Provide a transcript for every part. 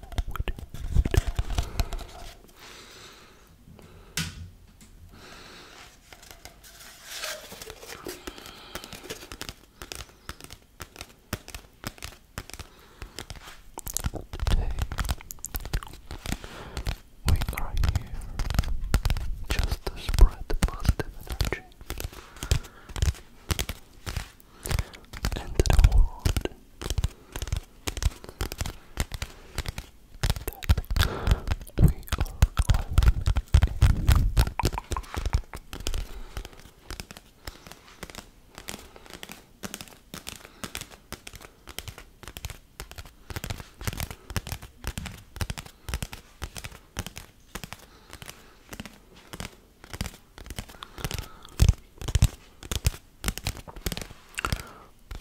wood, wood. we are here just to spread positive energy into the world. That we are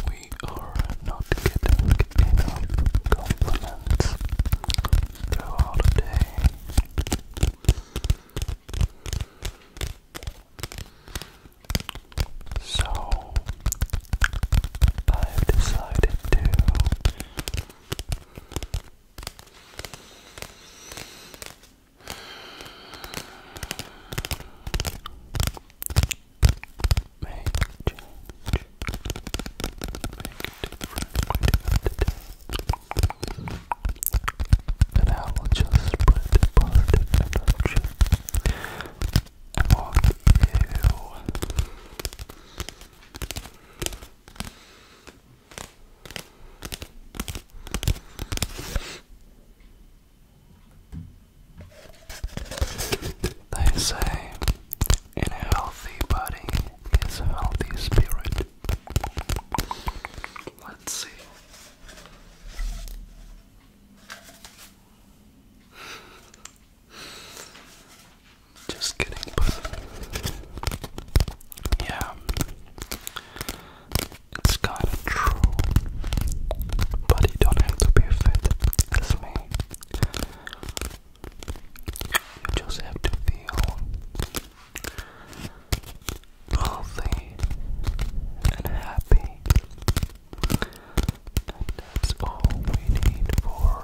we are not getting compliments throughout So I've decided to Make change. Make different. And I will just spread positive energy among you. They say, in a healthy body is a healthy spirit. Let's see. Just kidding, but yeah, it's kinda true. But you don't have to be fit as me. You just have to feel healthy and happy. And that's all we need for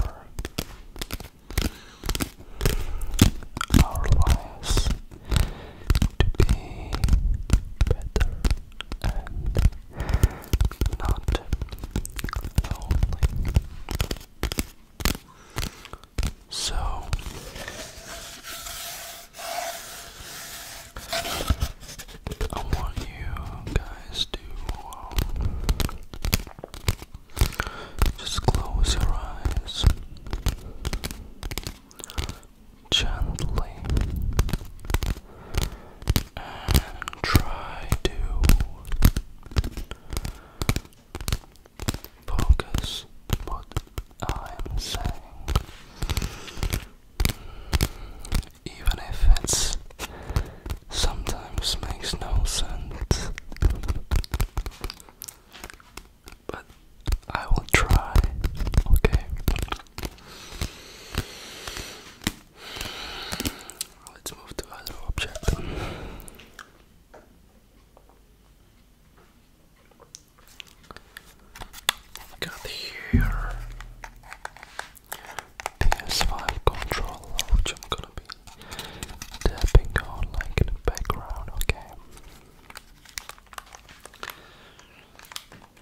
our lives to be better and not lonely. So I want you guys to um, just close your eyes gently and try to focus what I'm saying. Even if it's sometimes makes no sense but I will try, okay? Let's move to other object. got here PS5 controller, which I'm gonna be tapping on like in the background, okay?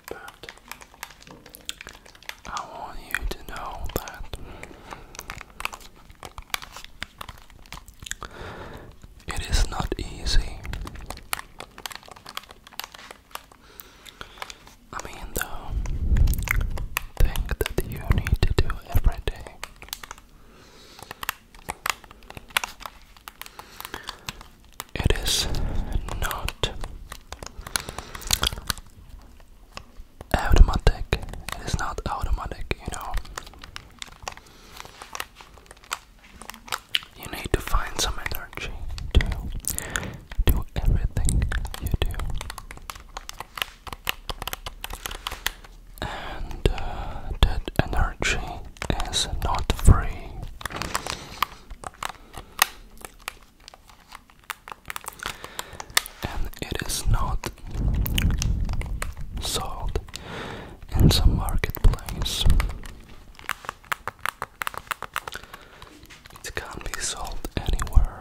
But I want you to know that it is not easy. I mean, the thing that you need to do every day. It is not automatic. It is not automatic, you know. You need to find some energy to do everything you do. And uh, that energy is not free and it is not sold in the marketplace. It can't be sold anywhere.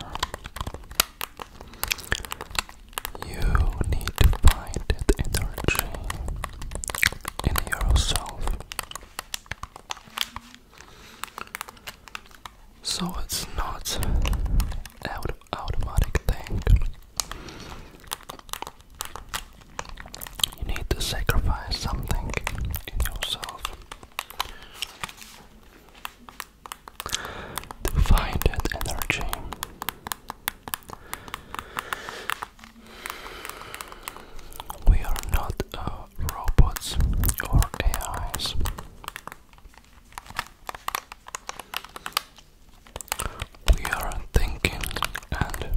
You need to find it energy in yourself. So it's not out automatic thing. You need to sacrifice something in yourself to find that energy. We are not uh, robots or AIs. We are thinking and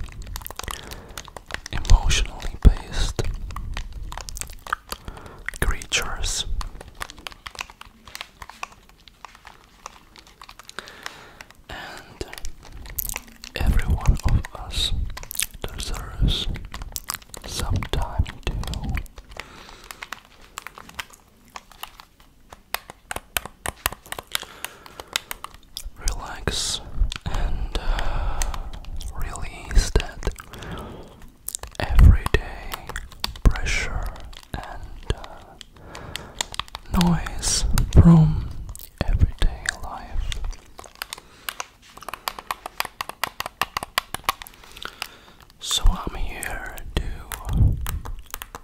emotionally based creatures and every one of us deserves some time to relax and uh, release that everyday pressure and uh, noise from everyday life so I'm here to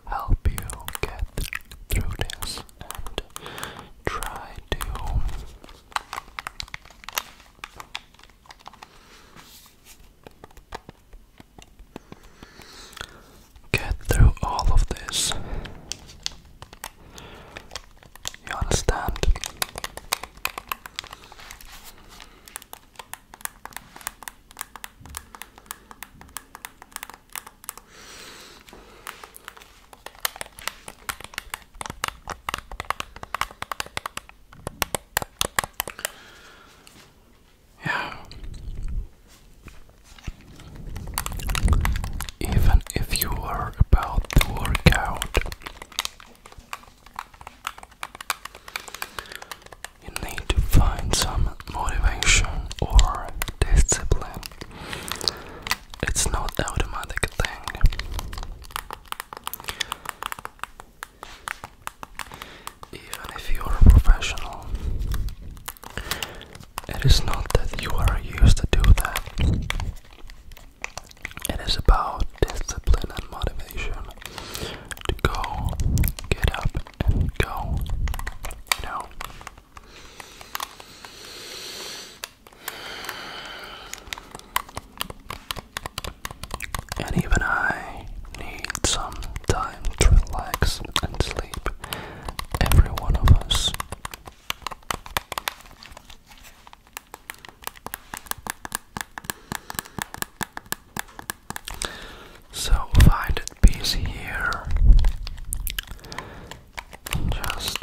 help you get through this and try to get through all of this you understand? Yeah even if you are about to work out. You need to find some motivation or discipline. It's not automatic thing. Even if you are a professional, it is not that you are used to do that. It is about discipline and motivation to go, get up, and go. You And even I need some time to relax and sleep, every one of us. So find that piece here just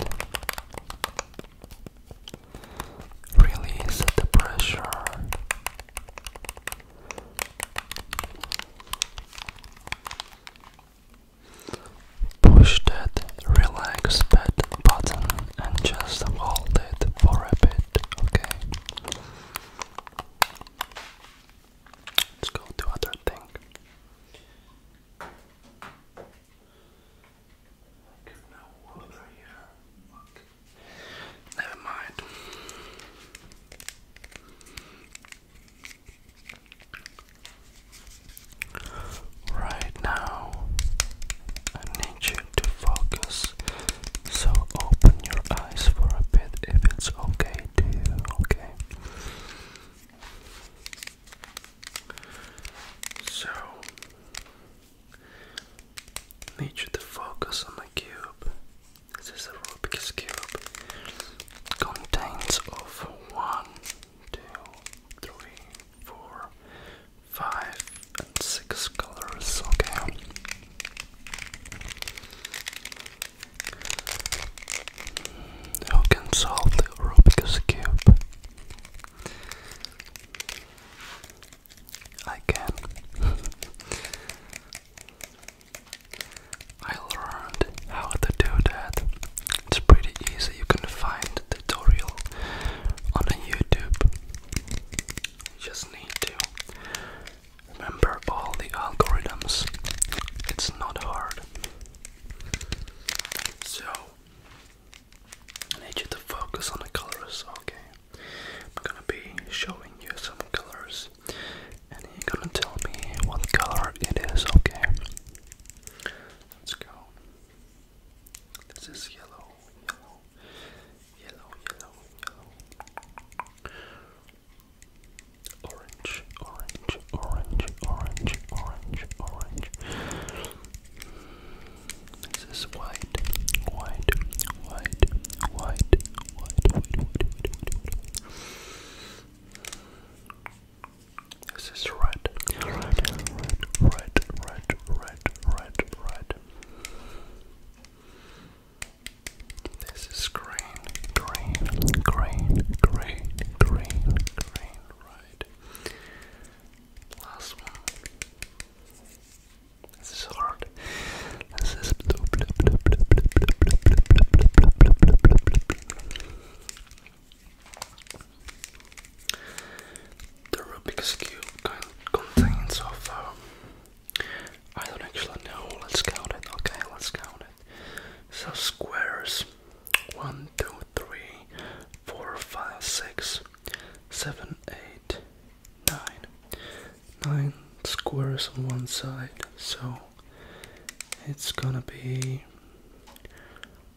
release the pressure. Push that relax pad button and just hold it for a bit, okay? Let's go to other thing. Never mind. Right now, I need you to focus. So open your eyes for a bit if it's okay to you, okay? So, need you to focus on the cube. This is a Rubik's Cube. contains of one, two, three, four, five, and six colors. Okay. Who can solve the Rubik's Cube? I can. I learned how to do that it's pretty easy. You can find the tutorial on YouTube. You just need to remember all the algorithms. It's not hard. So I need you to focus on the colors, okay? I'm gonna be showing you some colors and you're gonna tell me what color it is, okay? Let's go. This is yellow, yellow, yellow, yellow, yellow. Orange, orange, orange, orange, orange, orange. This is white, white, white, white, white, white, white, white, white, white. This is red, red, red, red, red, red, red, This is green, green, green, green, green, green, red. Last one. This is hard. This is blue, blue, blue, blue, blue, blue, blue, blue, blue, blue, blue, blue, blue. The Rubik's Cube contains of, um, I don't actually know, let's count it, okay, let's count it. So squares, 1, 2, 3, 4, 5, 6, 7, 8, 9. 9 squares on one side, so it's gonna be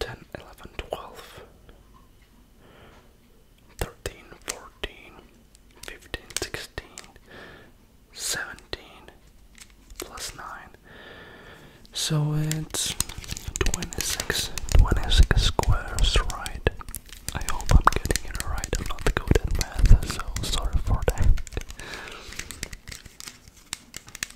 10, 11, 12, 13, 14, 15, 16, 17, plus 9. So it's 26, 26 squares, right? I hope I'm getting it right. I'm not good at math, so sorry for that.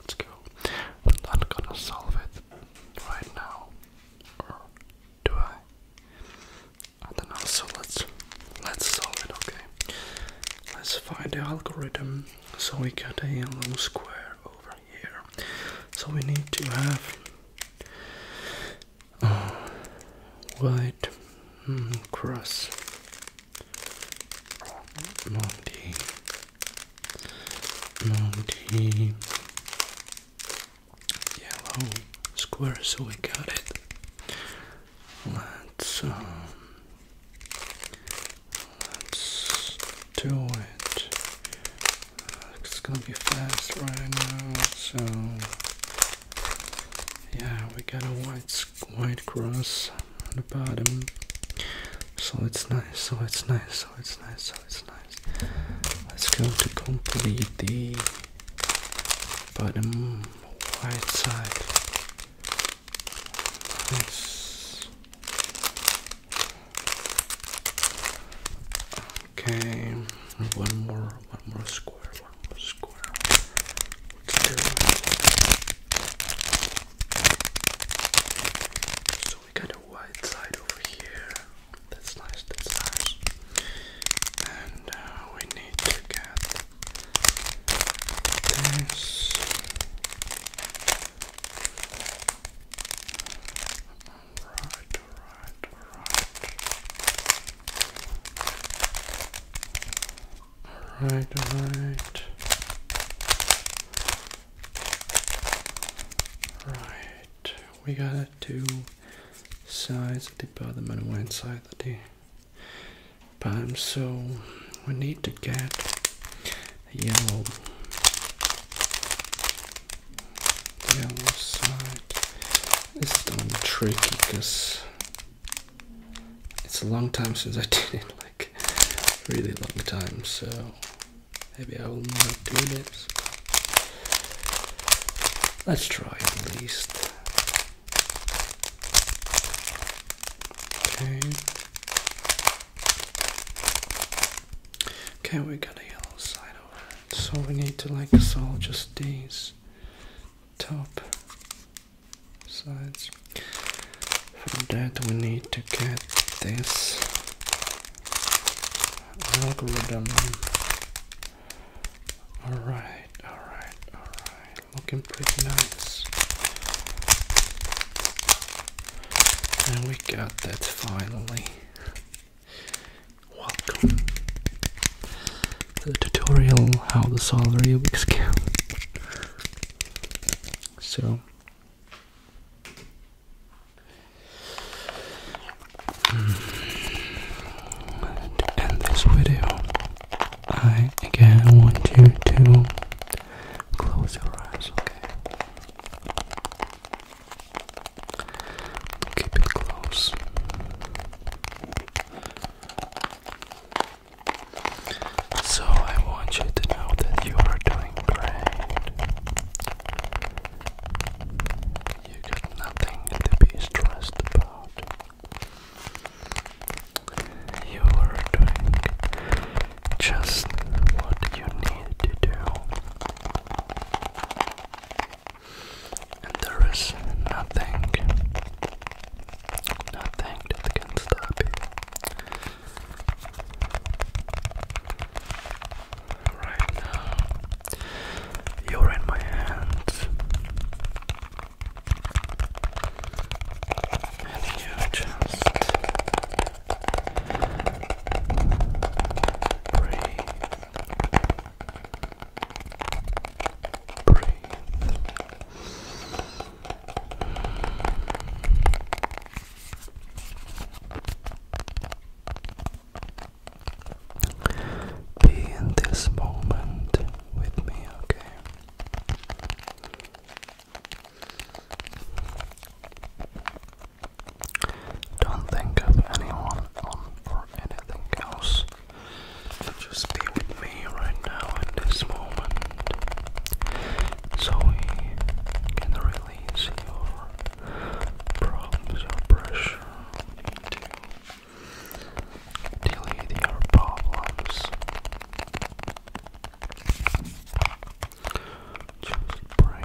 Let's go. I'm gonna solve it right now. do I? I don't know, so let's let's solve it, okay. Let's find the algorithm. So we got a little square over here. So we need to have uh, white hmm, cross Monty. Monty. Yellow square, so we got it. Let's um, let's do it. It's gonna be fast right now, so yeah, we got a white white cross on the bottom. So it's nice, so it's nice, so it's nice, so it's nice. Let's go to complete the bottom white side. Nice. Okay, one more, one more square square. So we got a white side over here. That's nice, that's nice. And uh, we need to get this. Alright, alright, alright. All right, all right. Right, we got two sides of the bottom and one side of the bottom, so we need to get a yellow, yellow side. It's done tricky because it's a long time since I did it, like really long time, so maybe I will not do this. Let's try at least. Okay. Okay, we got a yellow side over So we need to like solve just these top sides. For that we need to get this algorithm. Alright, alright, alright. Looking pretty nice. And we got that finally. Welcome to the tutorial how to solve Rubik's so to end this video, I again want you to close your eyes, okay? Keep it close. So I want you to know that you are doing great. You got nothing to be stressed about. You are doing just what you need to do. And there is nothing Nothing can stop you. Right now, you're in my hands. And you just breathe. Breathe. Be in this moment with me, okay? Don't think of anyone or anything else. Just be with me right now in this moment so we can release your problems, your pressure. We need to your problems. Just breathe.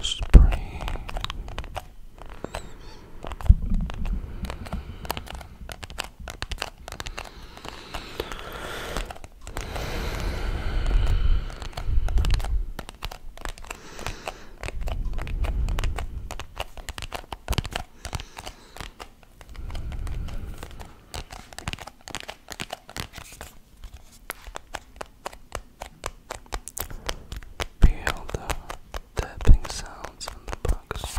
Just breathe. Feel the tapping sounds on the box.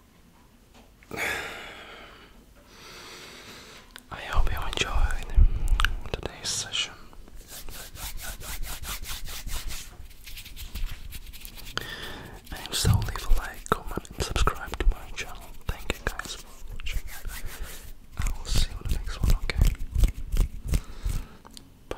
I hope you enjoyed today's session. And so leave a like, comment, and subscribe to my channel. Thank you guys for watching. I will see you in the next one, okay? Bye.